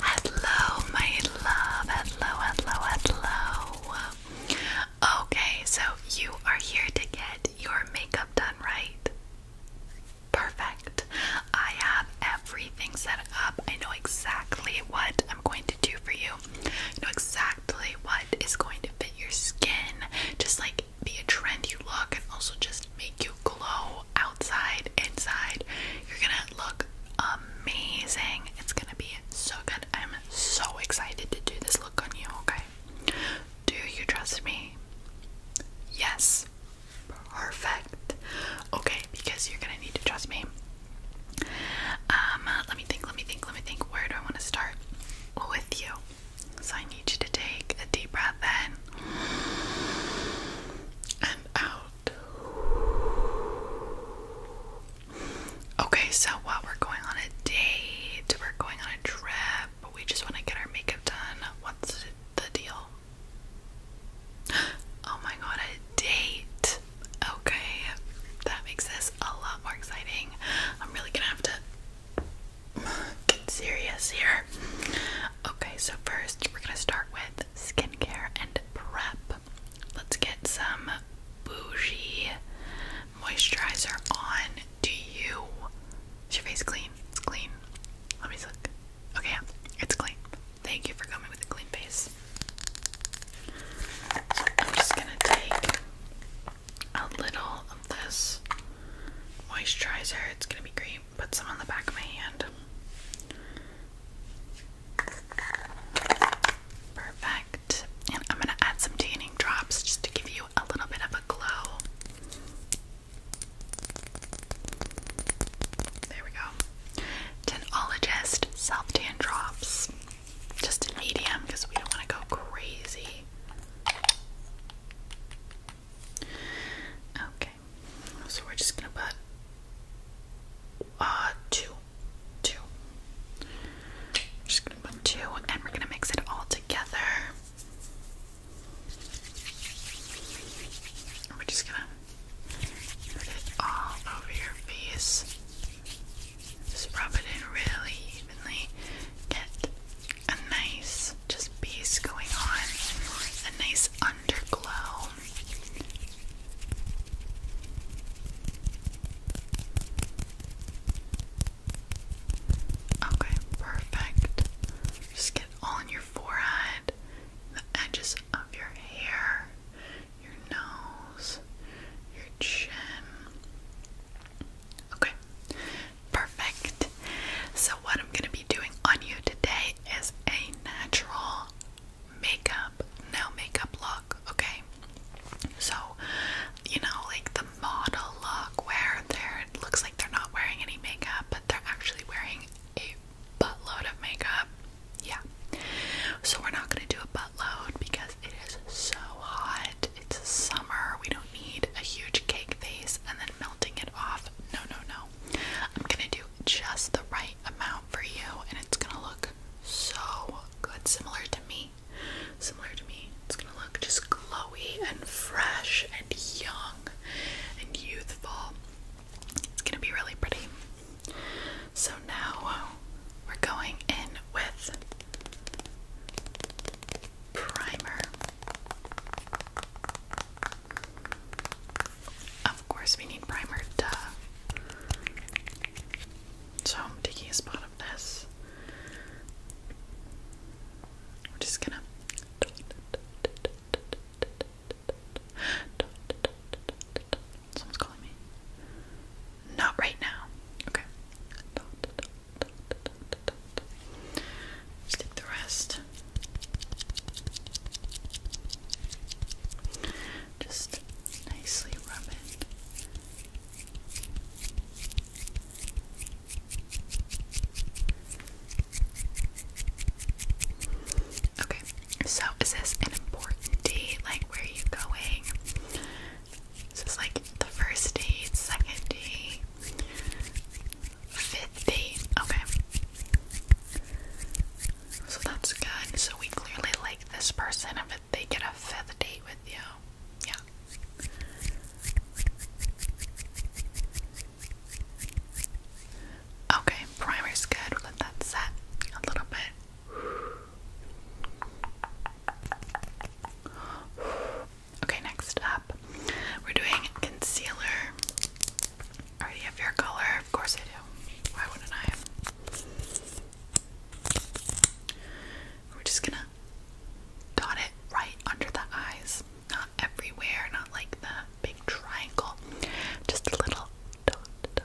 Hello, my love. Hello, hello, hello. Okay, so you are here to get your makeup done, right? Perfect. I have everything set up. I know exactly what I'm going to do for you. know exactly what is going to fit your skin. Just like be a trend you look and also just make you glow outside, inside. You're gonna look amazing. It's gonna be so good. I'm so excited to do this look on you, okay? Do you trust me? Yes. Perfect. Okay, because you're gonna need to trust me. Um, let me think, let me think, let me think. Where do I want to start with you? So I need you to take a deep breath then and out. Okay, so what we're going on a date, we're going on a trip, we just want to get our makeup done. What's the deal? Oh my god, a date. Okay, that makes this a lot more exciting. I'm really gonna have to get serious here. Okay, so first we're gonna start with skincare and prep. Let's get some bougie moisturizer on. Do you? Is your face clean? It's clean. Let me look. Okay, yeah, it's clean. Thank you for coming with a clean face. So I'm just gonna take a little of this moisturizer. It's gonna be great. Put some on the back of my hand. Perfect. And I'm gonna add some tanning drops just to give you a little bit of a glow. There we go. Tanologist self tan drops. Just medium because we don't want to go crazy. Okay, so we're just gonna put uh two, just gonna put two, and we're gonna mix it all together. we're just gonna put it all over your face. Just rub it in really evenly. Get a nice just base going on, a nice underglow. Okay, perfect. Just get all in your forehead, the edges of your hair, your nose, your chin. Okay, Perfect. So, what I'm going to be doing on you today is a natural makeup, no makeup look, okay? So, you know, like the model look where they're, it looks like they're not wearing any makeup, but they're actually wearing a buttload of makeup. Yeah. So, we're not going to do a buttload because it is so hot it's summer. We don't need a huge cake face, and then melting it off. No, no, no. I'm gonna do just the right amount for you, and it's gonna look so good. Similar to me. Similar to me. It's gonna look just glowy and fresh and young and youthful. It's gonna be really pretty. So now we're going in with primer. Of course, we need primer, So, I'm taking a spot of this. We're just gonna. Someone's calling me. Not right now. Okay. Stick the rest. Just nicely rub it. Okay, so is this an important day? Like, where are you going? This is like the first date, second date, fifth date. Okay. So that's good. So we clearly like this person if they get a fifth date with you. Yeah. Okay, primer's good. let that set a little bit. Okay, next up, we're doing concealer. already have your color. Of course I do. Why wouldn't I? We're just gonna dot it right under the eyes. Not everywhere, not like the big triangle. Just a little dot,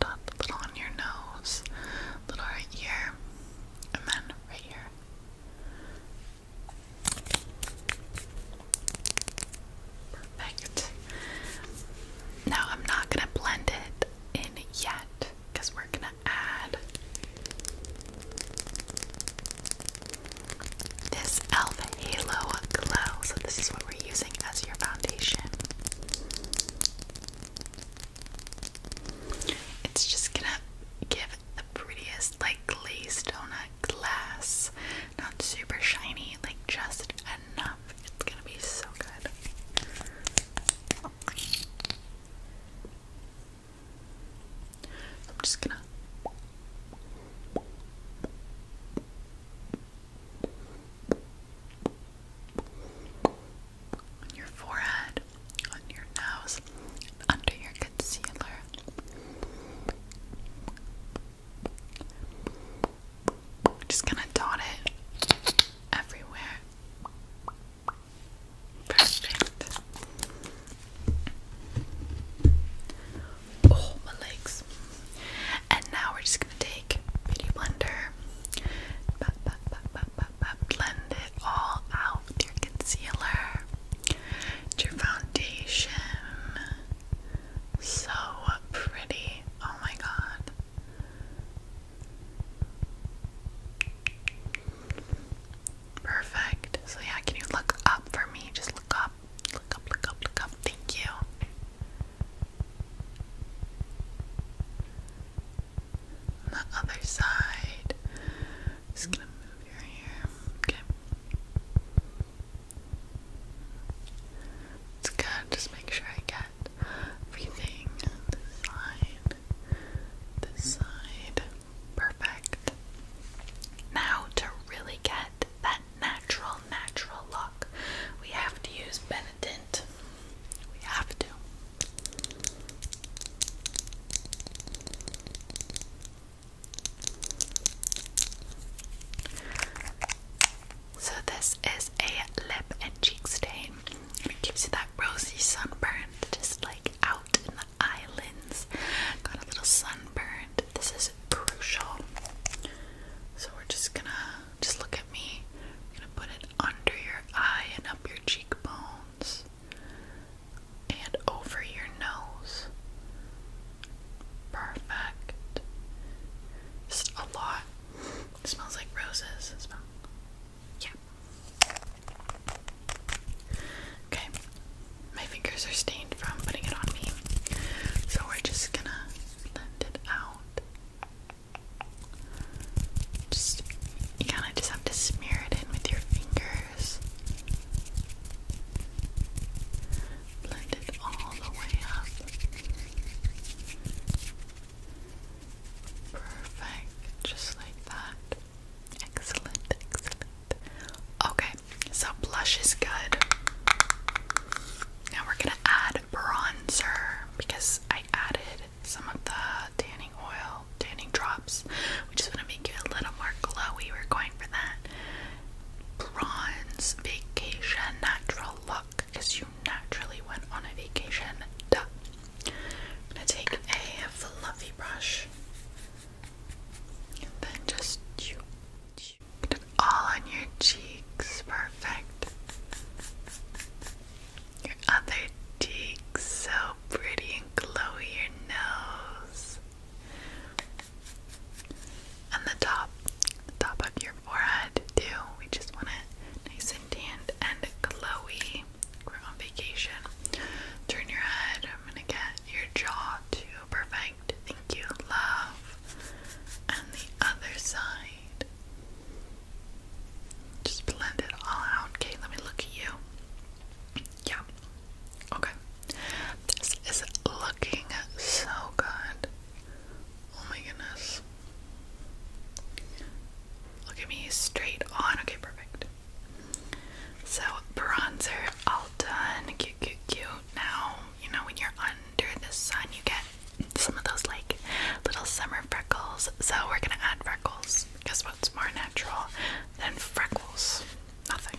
dot, little on your nose, little right here, and then right here. Perfect. Now I'm not gonna blend it in yet because we're gonna add this elf halo glow. So this is what we're using as your foundation. It's just gonna give the prettiest, like glazed donut glass. Not super shiny, like just enough. It's gonna be so good. I'm just gonna on your forehead, on your nose, under your concealer. just gonna dot it everywhere. Perfect. Oh, my legs. And now we're just gonna take like Blender, blend it all out with your concealer, your foundation. So pretty. Oh my god. Perfect. So yeah, can you look up for me? Just look up. Look up, look up, look up. Thank you. On the other side. Just gonna move your hair. Okay. It's good. Just make sure I get everything this side. This side. Perfect. Now to really get that natural, natural look, we have to use Benetint. We have to. So this is a lip and cheek stain, it gives you that rosy sunburn, just like out in the islands. Got a little sunburned. This is crucial. So we're just gonna just look at me. I'm gonna put it under your eye and up your cheekbones and over your nose. Perfect. Just a lot. smells like roses. It Yeah. Okay. My fingers are stained from putting it on me. So we're just gonna blend it out. Just you kind of just have to smear it in with your fingers. Blend it all the way up. Perfect, just like that. Excellent, excellent. Okay, so blush is good. Now we're gonna add bronzer because I added some of the tanning oil, tanning drops, We just want to make it a little more glowy. We're going for that bronze vacation natural look because you naturally went on a vacation. Duh. going to take a fluffy brush and then just you. All on your cheeks. Perfect. Your other cheek. So pretty and glowy. Your nose. And the top. top of your forehead, too. We just want it nice and tanned and glowy. We're on vacation. Turn your head. I'm gonna get your jaw to Perfect. Thank you, love. And the other side. Just blend it all out. Okay, let me look at you. Yeah. Okay. This is looking so good. Oh my goodness. Look at me straight on. Okay, perfect. So, bronzer all done. Cute, cute, cute. Now, you know, when you're under the sun, you get some of those like little summer freckles. So we're gonna add freckles because what's more natural than freckles? Nothing.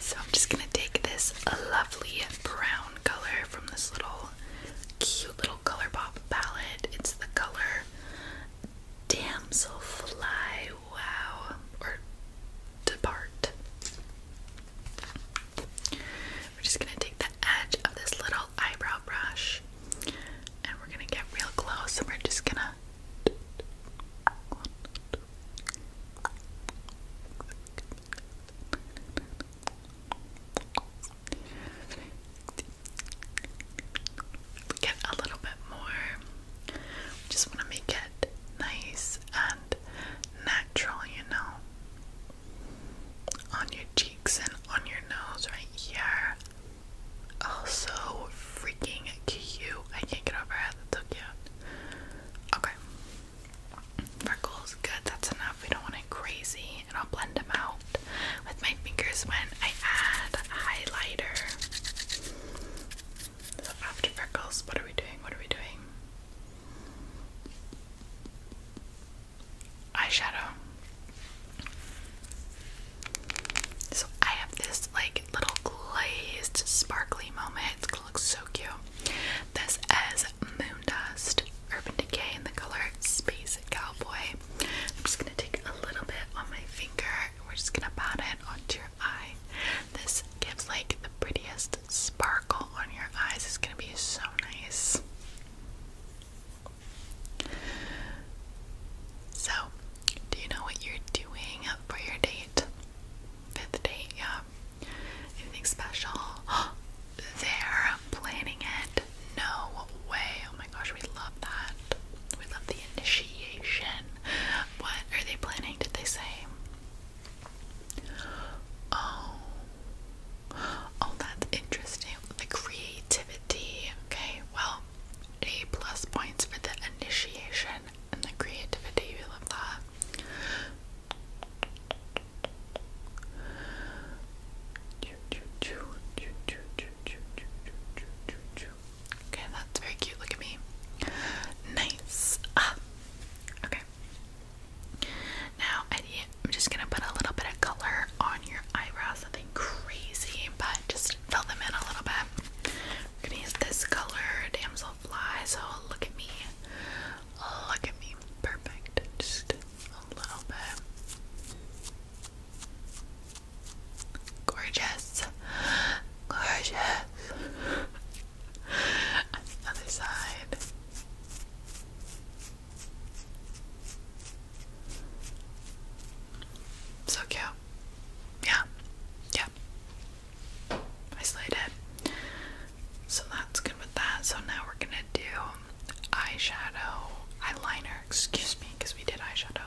So I'm just gonna take this lovely brown color from this little cute little color pop palette. It's the color Damselfly Wow or Depart. We're just gonna take the edge of this little eyebrow brush and we're gonna get real close and we're just gonna we get a little bit more. We just want to make it nice and natural, you know, on your cheeks and on your nose right here. Oh, freaking cute. I can't get over it. That's so cute. Okay. Freckles, good, that's enough. We don't want it crazy. And I'll blend them out with my fingers when I add highlighter. So after freckles, what are we doing? What are we doing? Eyeshadow. So I have this like little glazed sparkly moment. It looks so cute. This is Moon dust, Urban Decay in the color Space Cowboy. I'm just gonna take a little bit on my finger we're just gonna pat it onto your eye. This gives like the prettiest sparkle on your eyes. It's gonna be so nice. So, do you know what you're doing for your date? Fifth date, yeah. Anything special? Oh, they're planning it. No way. Oh my gosh, we love that. We love the initiation. What are they planning? Did they say? Oh. Oh, that's interesting. The creativity. Okay, well, A plus points for the initiation and the creativity. We love that. Okay, that's very cute. Look at me. Nice. Ah. Okay. Now, I'm just gonna put a little bit of color on your eyebrows. Nothing crazy, but just fill them in a little bit. We're gonna use this color, damselfly. So look at me. Oh, look at me. Perfect. Just a little bit. Gorgeous. Gorgeous. other side. So cute. Yeah. Yeah. I slayed it. So that's good with that. So now we're gonna do eyeshadow, eyeliner, excuse me, because we did eyeshadow.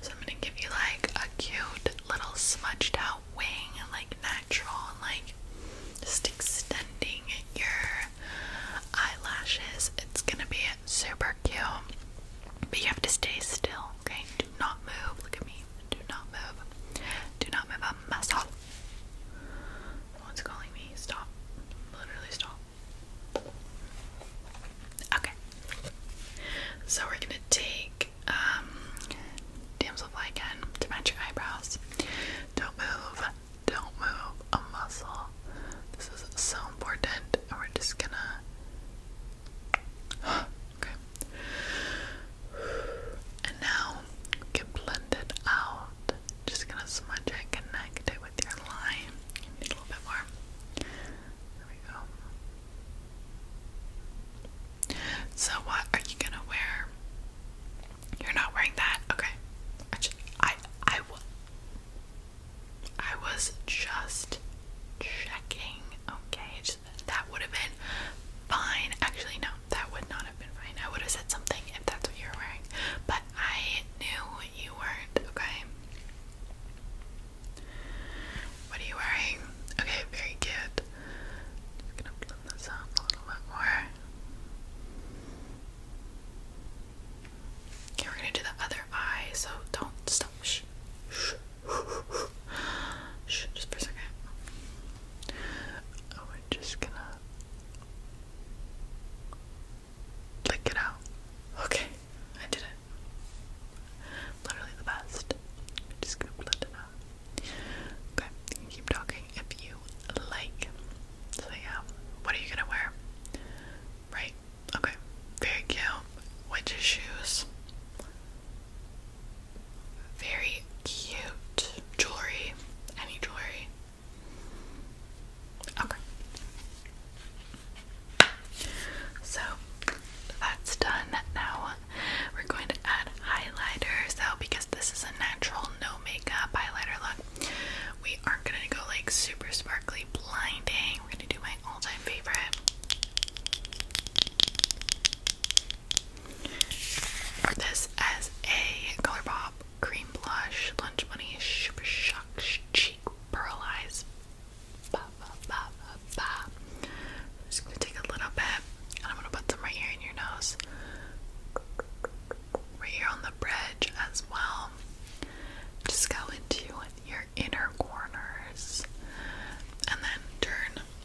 So I'm gonna give you like a cute little smudged out wing, like natural, and like just extending your eyelashes. It's gonna be super cute. But you have to stay still, okay? Do not move. Look at me. Do not move. Do not move I'm a muscle. Someone's calling me. Stop. Literally stop. Okay. So we're gonna take um damselflycan to match your eyebrows. Don't move. Don't move a muscle. This is so important. And we're just gonna okay. And now get blended out. Just gonna smudge it, connect it with your line. need a little bit more. There we go. So what are you gonna wear? You're not wearing that, okay? I I, I, was just checking. Okay, that would have been fine. Actually, no, that would not have been fine. I would have said something if that's what you were wearing, but I knew you weren't, okay? What are you wearing? Okay, very good. Just gonna blend this out a little bit more. Okay, we're gonna do the other eye, so don't stop. Shh. Shh. Just for a second. And oh, we're just gonna lick it out. Okay, I did it. Literally the best. just gonna blend it out. Okay, you keep talking if you like. So yeah, what are you gonna wear? Right? Okay. Very cute. Which shoes? Very cute jewelry. Any jewelry. Okay. So that's done. Now we're going to add highlighter. So, because this is a natural, no makeup highlighter look, we aren't going to go like super sparkly, blinding. We're going to do my all time favorite. This as a Color cream blush, Lunch Money Super Cheek Pearlize. I'm just gonna take a little bit, and I'm gonna put some right here in your nose, right here on the bridge as well. Just go into your inner corners, and then turn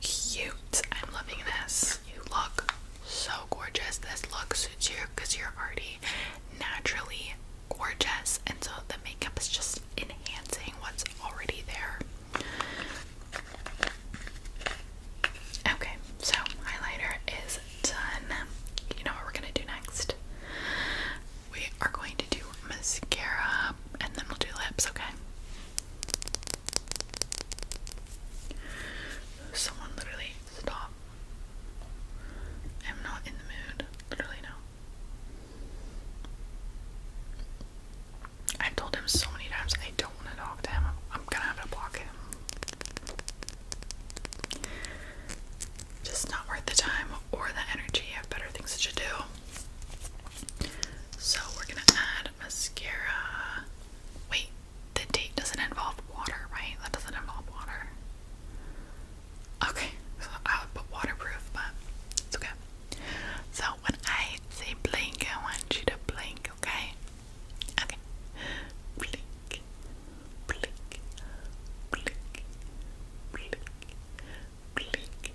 cute. I'm loving this. You look so gorgeous. This look suits you because you're already naturally gorgeous, and so the makeup is just enhancing what's already there. Okay, so highlighter is done. You know what we're gonna do next? We are going to do mascara and then we'll do lips, okay? Someone literally stop. I'm not in the mood. Literally no. i told him so many times I don't want to talk to him. I'm gonna have to block him. Just not worth the time or the energy. I have better things to do. So we're gonna add mascara. Wait, the date doesn't involve water, right? That doesn't involve water. Okay, so I would put waterproof, but it's okay. So when I say blink, I want you to blink, okay? Okay. Blink, blink, blink, blink, blink, blink,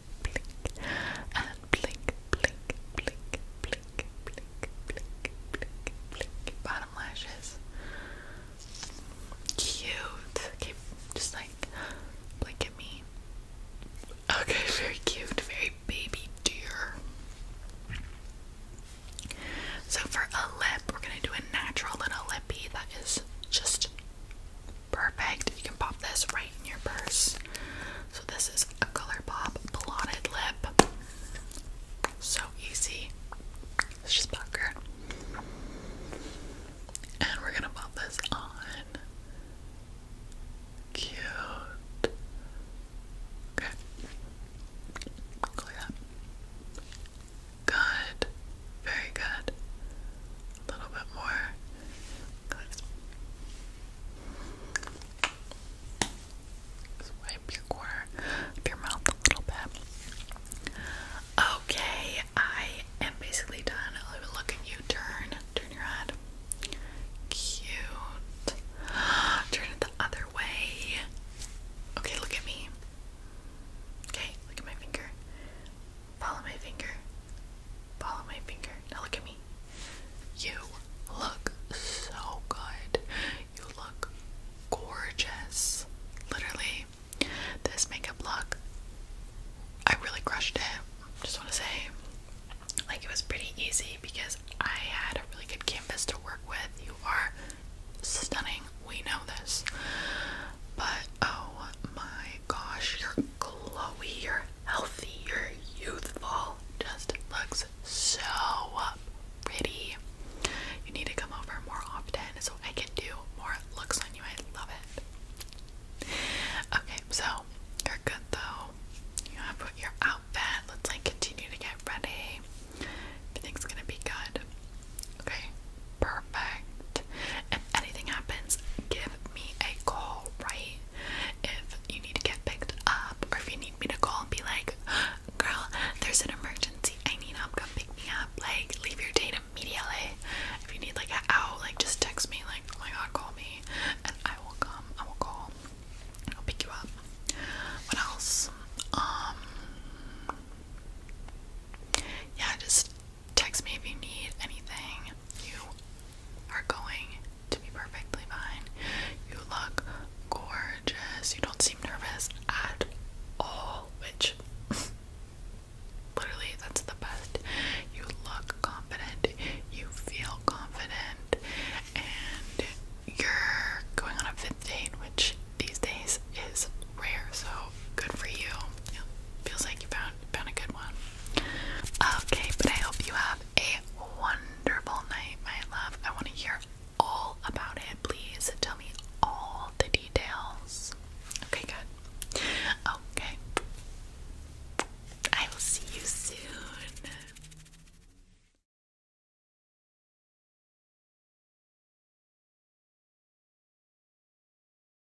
blink, and blink, blink, blink, blink, blink, blink, blink, blink. Bottom lashes. Cute. just like blink at me. Okay, very cute, very baby dear. So for a lip, we're gonna do a natural little lippy that is just Perfect. You can pop this right in your purse. So this is a ColourPop blotted lip. So easy. It's just pucker. And we're gonna pop this on. Cute. Okay. Go that. Good. Very good a little bit more clips. your your mouth a little bit. Okay, I am basically done. look at you. Turn, turn your head. Cute. Turn it the other way. Okay, look at me. Okay, look at my finger. Follow my finger. Follow my finger. Now look at me. You look so good. You look gorgeous. Literally, this makeup look, I really crushed it. Just want to say, like, it was pretty easy because I had a really good canvas to work with. You are stunning. We know this. But oh my gosh, you're glowy. you healthy, you're youthful, just looks so pretty. You need to come over more often so I can do more looks on you. I love it. Okay, so you're good though. You have put your outfit. Let's like continue to get ready. Everything's gonna be good. Okay, perfect. If anything happens, give me a call, right? If you need to get picked up, or if you need me to call and be like, girl, there's an emergency, I need help, come pick me up, like, leave your date immediately. If you need like an out, like, just text me, like, oh my god, call me, and I will come, I will call, I'll pick you up. What else? Um, yeah, just text me if you need anything. You are going to be perfectly fine. You look gorgeous. You don't seem nervous at all, which literally that's the best. You look confident. You feel confident. And you're going on a fifth which these days is rare. So good for you. feels like you found found a good one. Okay, but I hope you have a wonderful night, my love. I want to hear all about it. Please tell me all the details. Okay, good. Okay. I will see you soon.